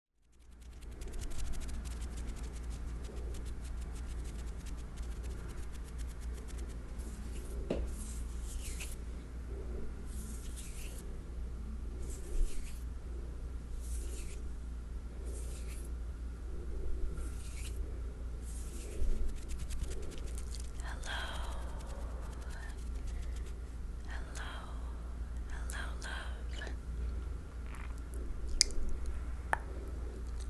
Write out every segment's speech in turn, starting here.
Hello, hello, hello, love.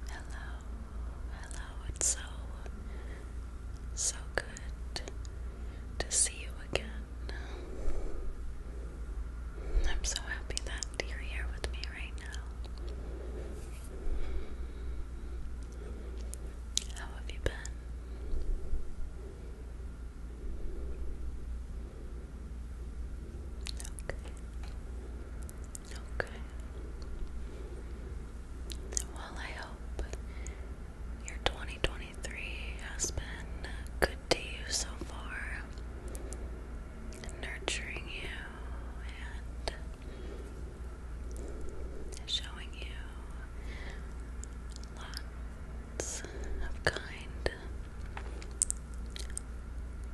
Hello, hello, it's so, so good to see you again. I'm so happy that you're here with me right now. How have you been? Okay. Okay. Well, I hope your 2023 has been good to you so far, nurturing you and showing you lots of kind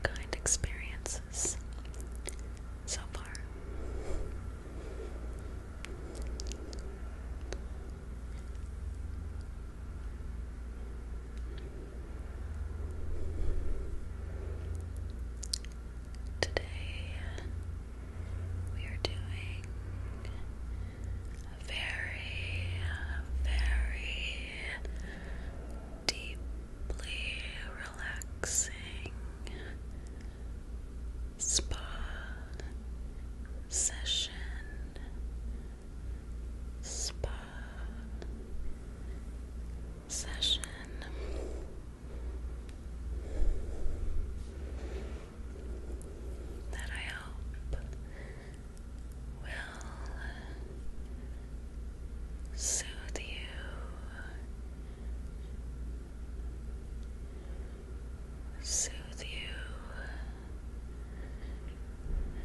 kind experiences so far. Today we are doing very, very deeply relaxing spa session. Spa session. That I hope will soothe you, soothe you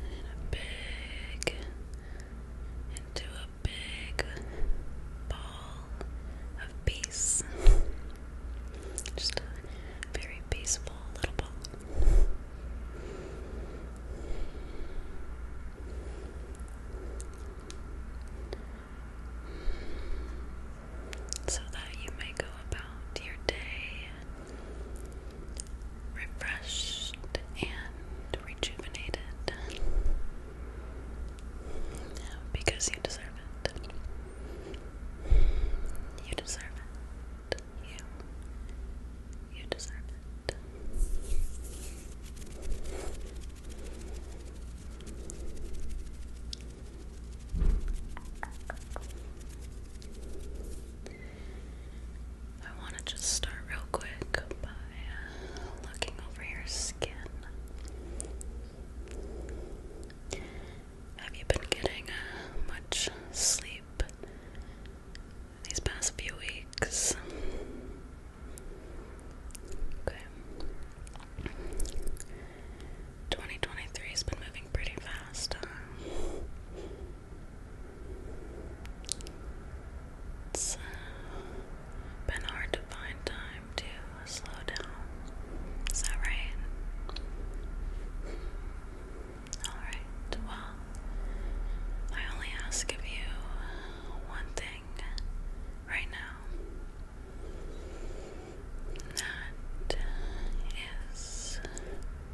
in a big, into a big ball of peace. Just a very peaceful little ball so that you may go about your day refreshed and rejuvenated because you deserve it. You deserve it. You. You deserve it. I want to just start real quick by uh, looking over your skin. Have you been getting uh, much sleep? these past few weeks. Okay. 2023 has been moving pretty fast. Uh, it's been hard to find time to slow down. Is that right? Alright, well, I only ask of you one thing right now. That is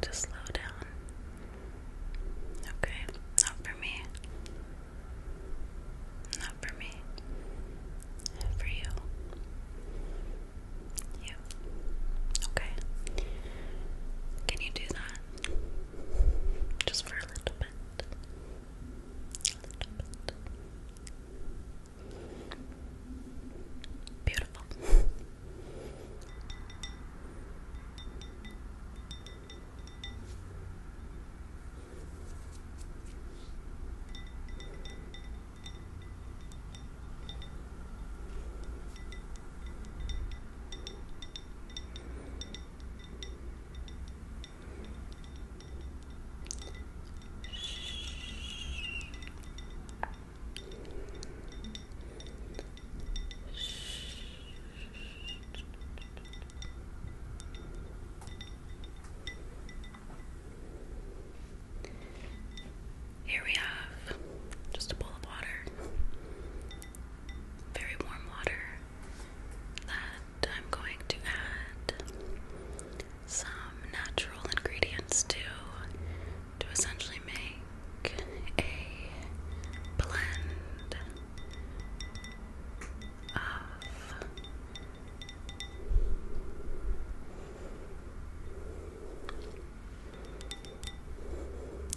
to slow down. Okay, not for me. Not for me. For you. You. Okay. Can you do that? Just for a little bit. Beautiful. Here we have just a bowl of water very warm water that I'm going to add some natural ingredients to to essentially make a blend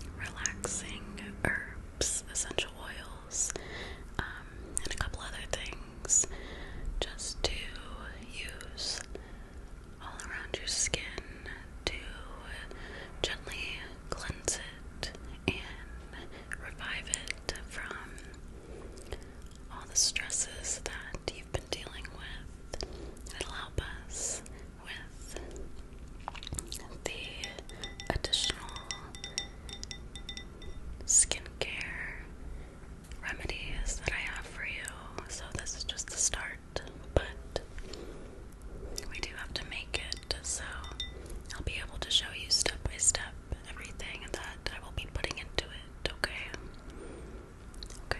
of relaxing herbs essential oils, um, and a couple other things just to use all around your skin to gently cleanse it and revive it from all the stresses that you've been dealing with. It'll help us with the additional skincare remedies that I have for you. So, this is just the start, but we do have to make it. So, I'll be able to show you step by step everything that I will be putting into it, okay? Okay.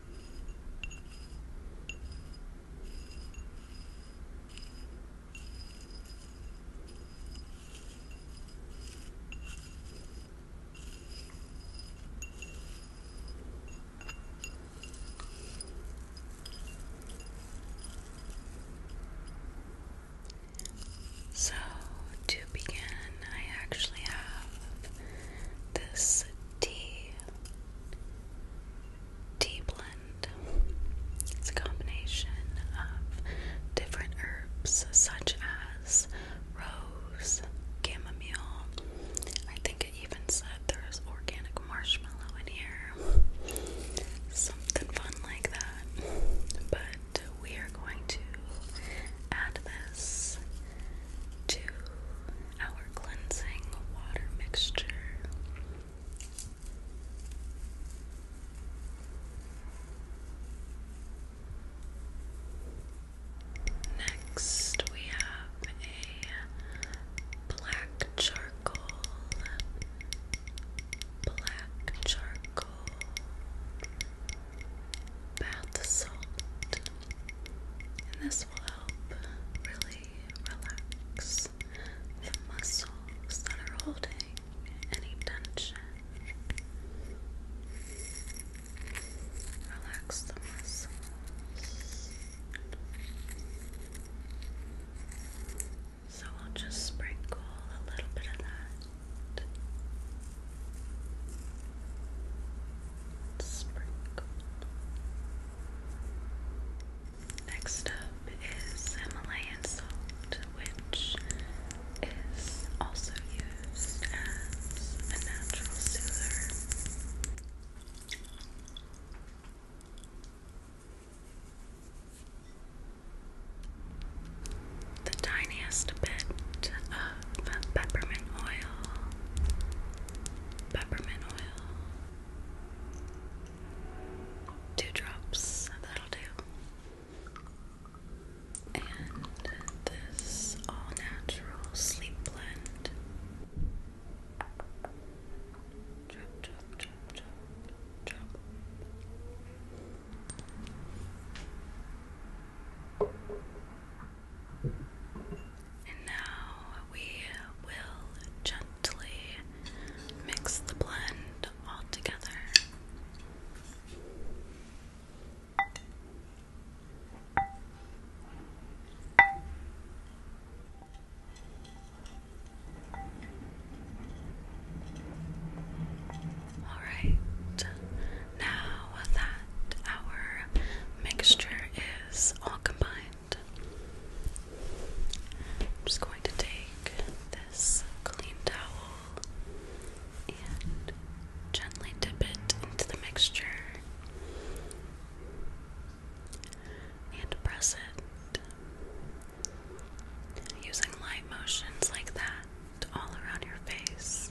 So, to begin, I actually have this tea tea blend. It's a combination of different herbs such as rose, chamomile. I think it even said there's organic marshmallow in here. Something fun like that. But we are going to add this to our cleansing water mixture. Next, we have a black charcoal, black charcoal, bath salt, and this will help really relax the muscles that are holding any tension. Relax the muscles. So I'll just sprinkle a little bit of that Sprinkle. Next up is Himalayan salt, which is also used as a natural soother. The tiniest bit peppermint oil. Peppermint oil. Two drops, that'll do. And this all natural sleep blend. Drop, drop, drop, drop, drop. And now we will gently mix the blend all together. All right, now that our mixture is all combined, I'm just going to take this clean towel and gently dip it into the mixture and press it using light motions like that all around your face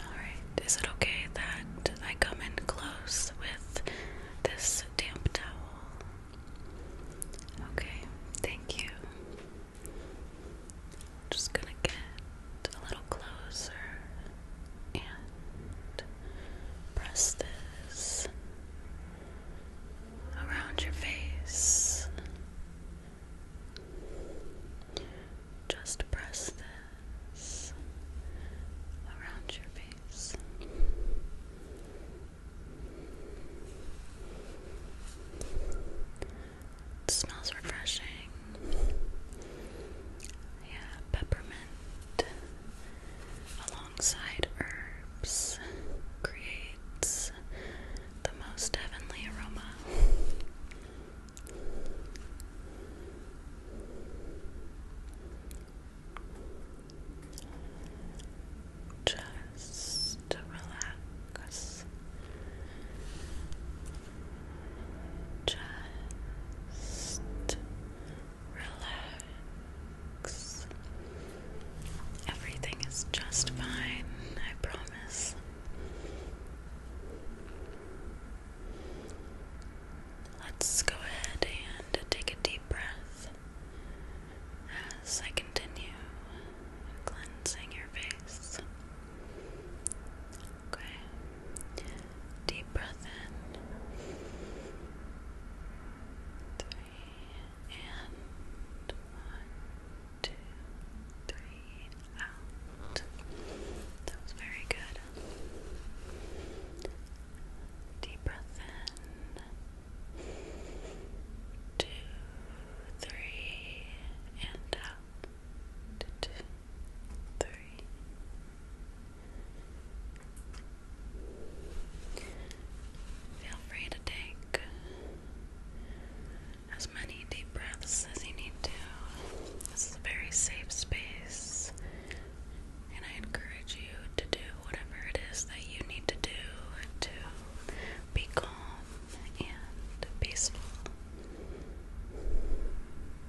All right, is it okay that I come in close with this damp towel? Okay, thank you just gonna get a little closer and press this around your face. Just press this around your face. It smells refreshing. Yeah, peppermint alongside herbs creates the most heavenly aroma. Just relax. Just relax. Everything is just fine, I promise. Let's go ahead and take a deep breath as I continue cleansing your face. Okay. Deep breath in. Three and one, two, three, out. That was very good. Deep breath in. Two, three, and out. Two, three. Feel free to take as many deep breaths as you need to. This is a very safe space, and I encourage you to do whatever it is that you need to do to be calm and peaceful.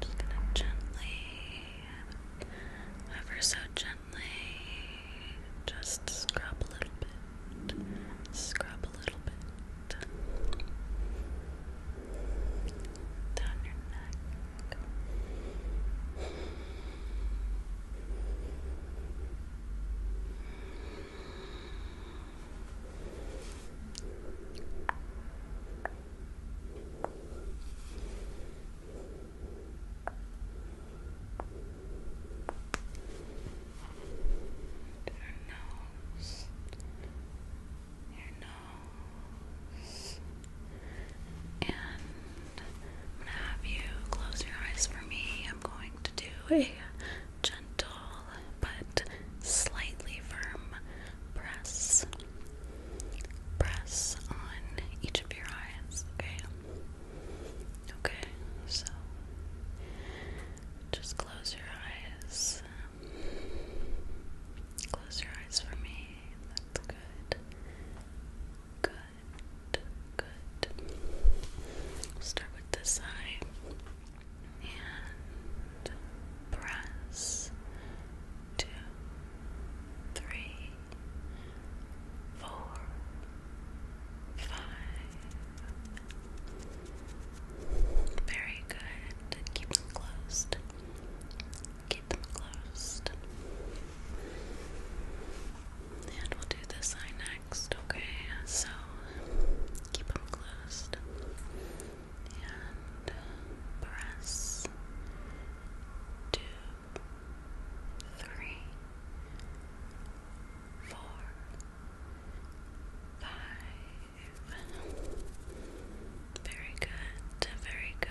Just gonna gently, ever so gently, just scrub a little bit, scrub a little bit down your neck. Your nose, your nose, and I'm gonna have you close your eyes for me. I'm going to do a gentle but slightly firm press. Press on each of your eyes, okay? Okay, so just close your eyes. Close your eyes for me. That's good. Good. Good. start with this eye and press two, three, four, five. Very good. Keep them closed. Keep them closed. And we'll do this eye next, okay? So keep them closed and uh, press two, three, four, five. Very good, very good.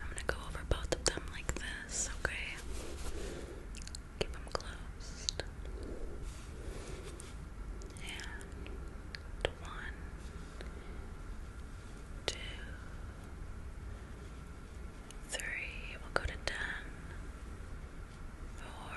I'm gonna go over both of them like this, okay? Keep them closed. And one, two, three. We'll go to ten, four,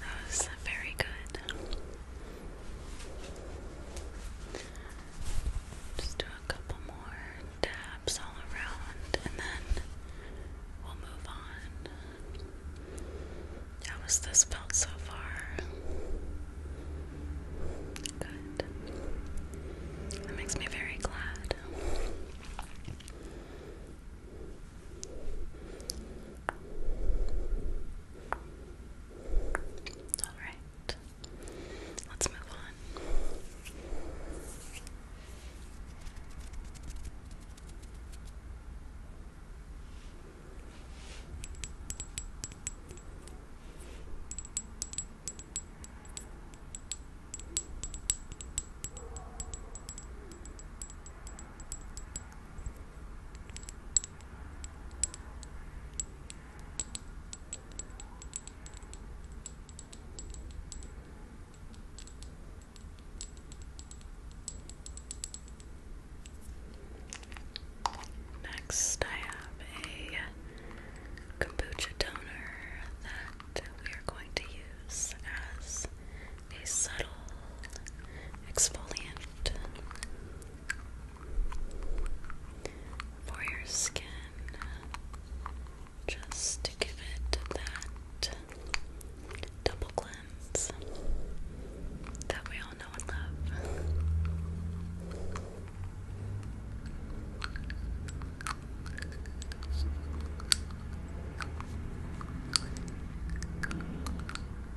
That was very good. Just do a couple more taps all around and then we'll move on. How has this felt so far? Good. That makes me very glad. All right. Let's move on. Next, I have a kombucha toner that we are going to use as a subtle exfoliant for your skin just to give it that double cleanse that we all know and love.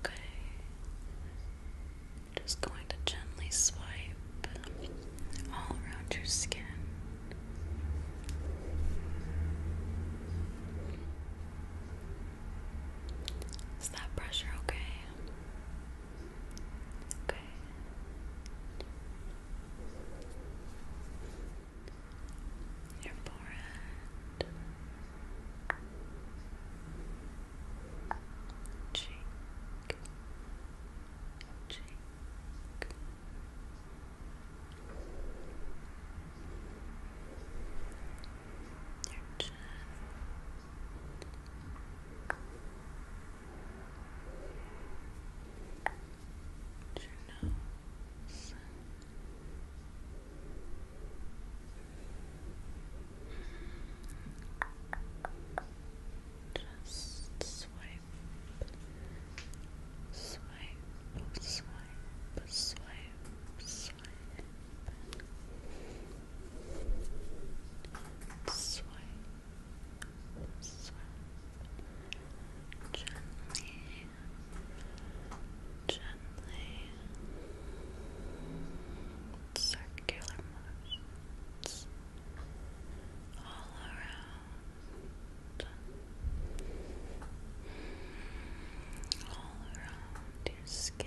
Okay. Just going to gently swipe all around your skin. Is that pressure okay? Okay. Your forehead, cheek, cheek your chin. Just swipe, swipe, swipe, swipe, swipe, swipe, swipe, gently, gently, circular motions all around. All around your skin,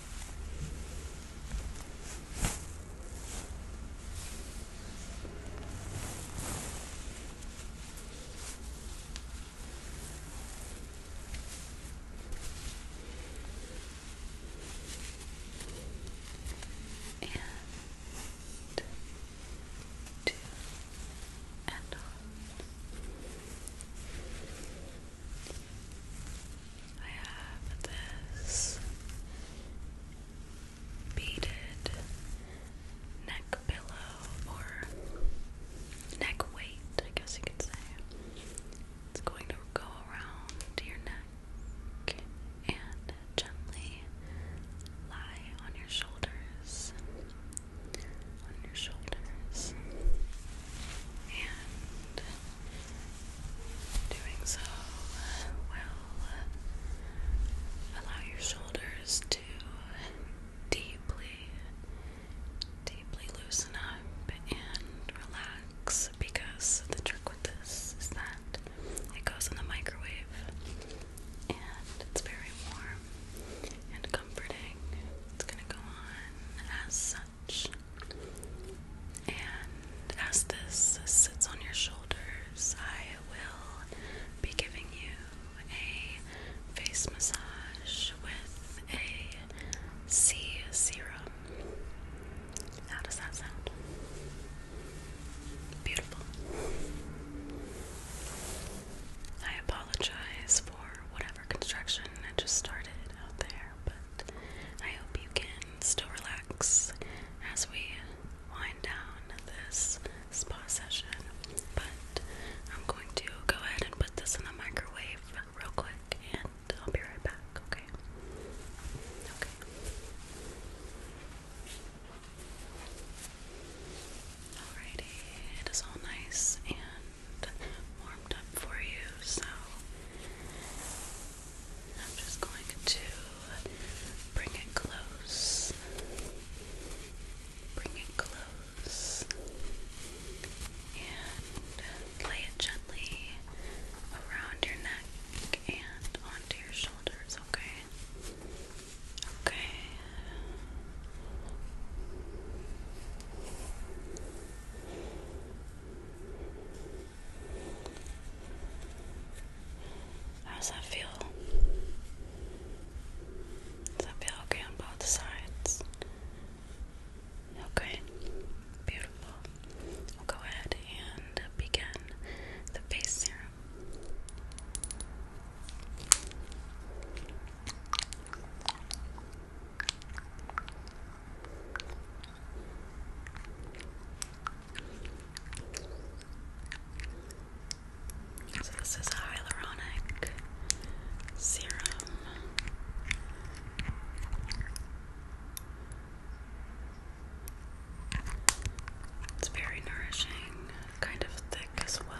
and two and on I have this beaded neck pillow or neck weight, I guess you could say. It's going to go around your neck and gently lie on your shoulders. On your shoulders. And Doing so will allow your shoulders to deeply, deeply loosen up and relax because the trick with this is that it goes in the microwave and it's very warm and comforting. It's gonna go on as and as this sits on your shoulders, I will be giving you a face massage with a C sea serum. How does that sound? Beautiful. I apologize for whatever construction I just started out there, but I hope you can still relax as we wind down this spa session. But I'm going to go ahead and put this in the microwave real quick and I'll be right back, okay? Okay. Alrighty, it is all nice and warmed up for you, so I'm just going to bring it close. Bring it close and lay it gently around your neck and onto your shoulders, okay? Okay. How does that feel? Does that feel okay on both sides? Okay, beautiful. We'll go ahead and begin the face serum. So this is hyaluronic serum. It's very nourishing, kind of thick as well.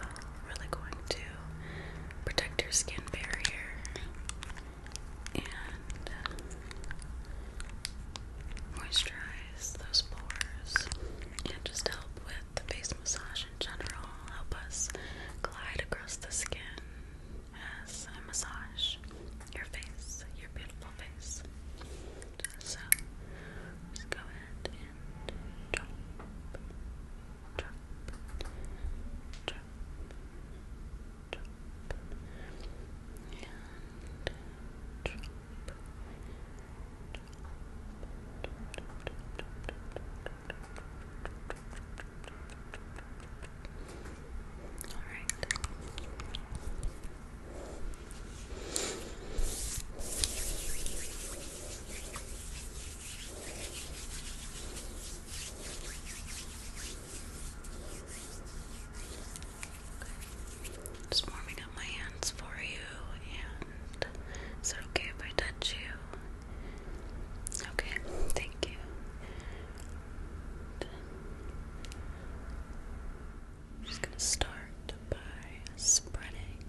Really going to protect your skin barrier and uh, moisturize those pores and just help with the face massage in general. Help us glide across the skin as I massage your face, your beautiful face. So just go ahead and drop, drop, drop, drop and drop. Alright. Okay. Just warming up my hands for you, and is it okay if I touch you? Okay, thank you. I'm just gonna start by spreading,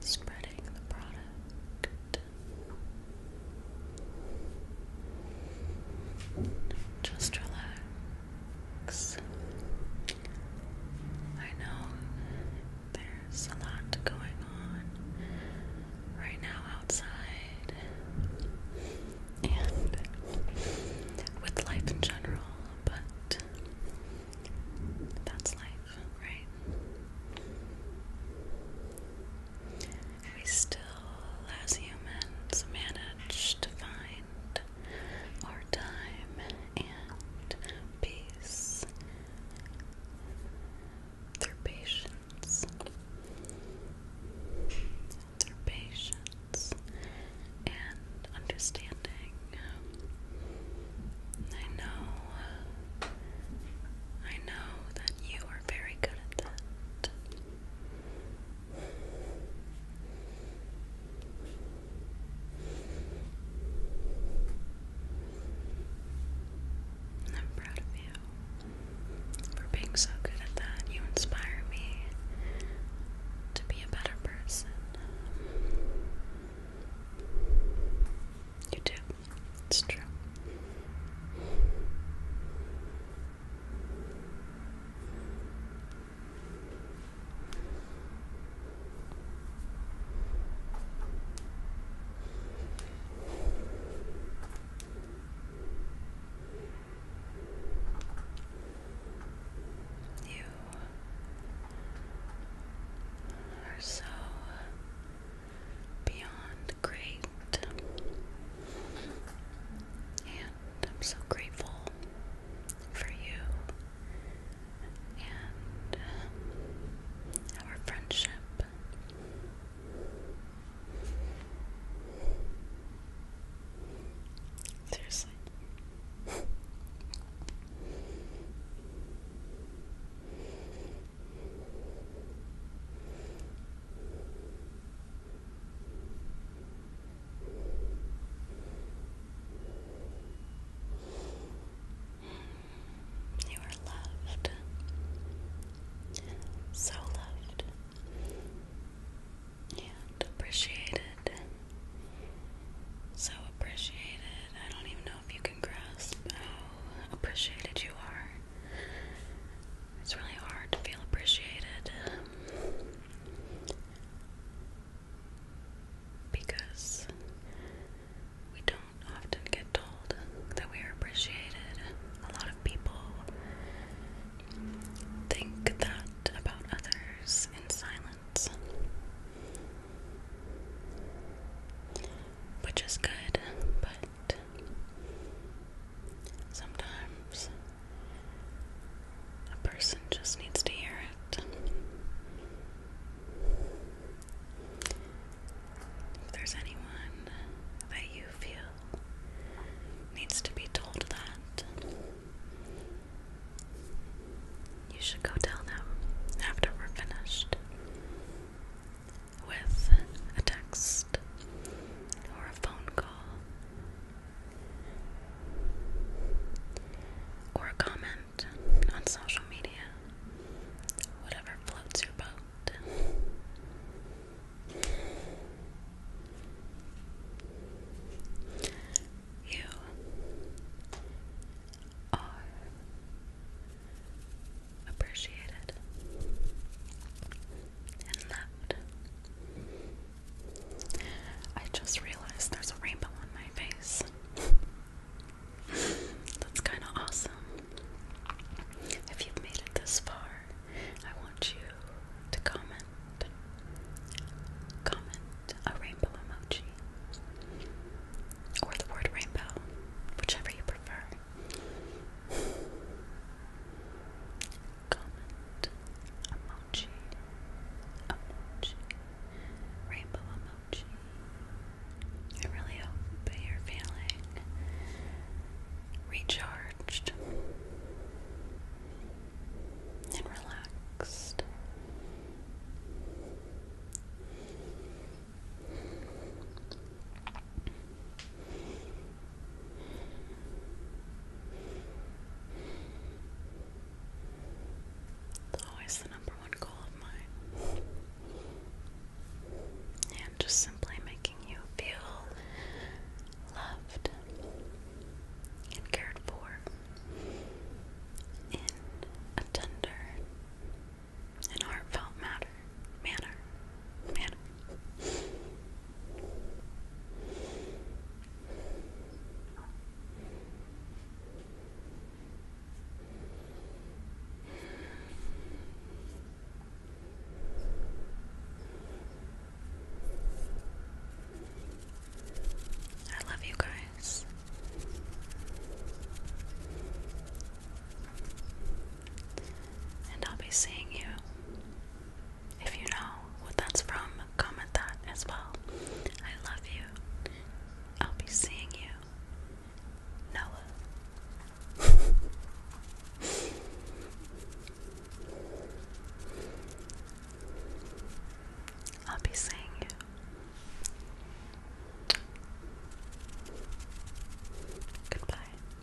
spreading the product. Just relax. I know there's a lot going on right now outside and with life in general, but that's life, right? we still, as humans, manage to find our time and peace Their patience. Through patience and understanding. I know, I know that you are very good at that. I'm proud of you for being so good at that. You inspire me to be a better person. You do. It's true. You are so beyond great I'm so grateful for you and um, our friendship. Seriously. You are loved, so loved, and appreciated. So appreciated. I don't even know if you can grasp how appreciated you are. It's really hard to feel appreciated because we don't often get told that we are appreciated. A lot of people think that about others in silence, which is good, but Sometimes a person just needs to hear it. If there's anyone that you feel needs to be told that, you should go tell them after we're finished with a text or a phone call or a comment on social media. Whatever floats your boat. You are appreciated and loved. I just realized there's a rainbow on my face. That's kind of awesome. If you've made it this far, I want you to comment. Comment a rainbow emoji. Or the word rainbow, whichever you prefer emoji, rainbow emoji. I really hope that you're feeling recharged and relaxed. It's always the number one goal of mine. And just simply making you feel loved and cared for in a tender and heartfelt matter, manner, manner. I love you guys. And I'll be seeing you if you know what that's from, comment that as well. I love you. I'll be seeing you. Noah. I'll be seeing you. Goodbye.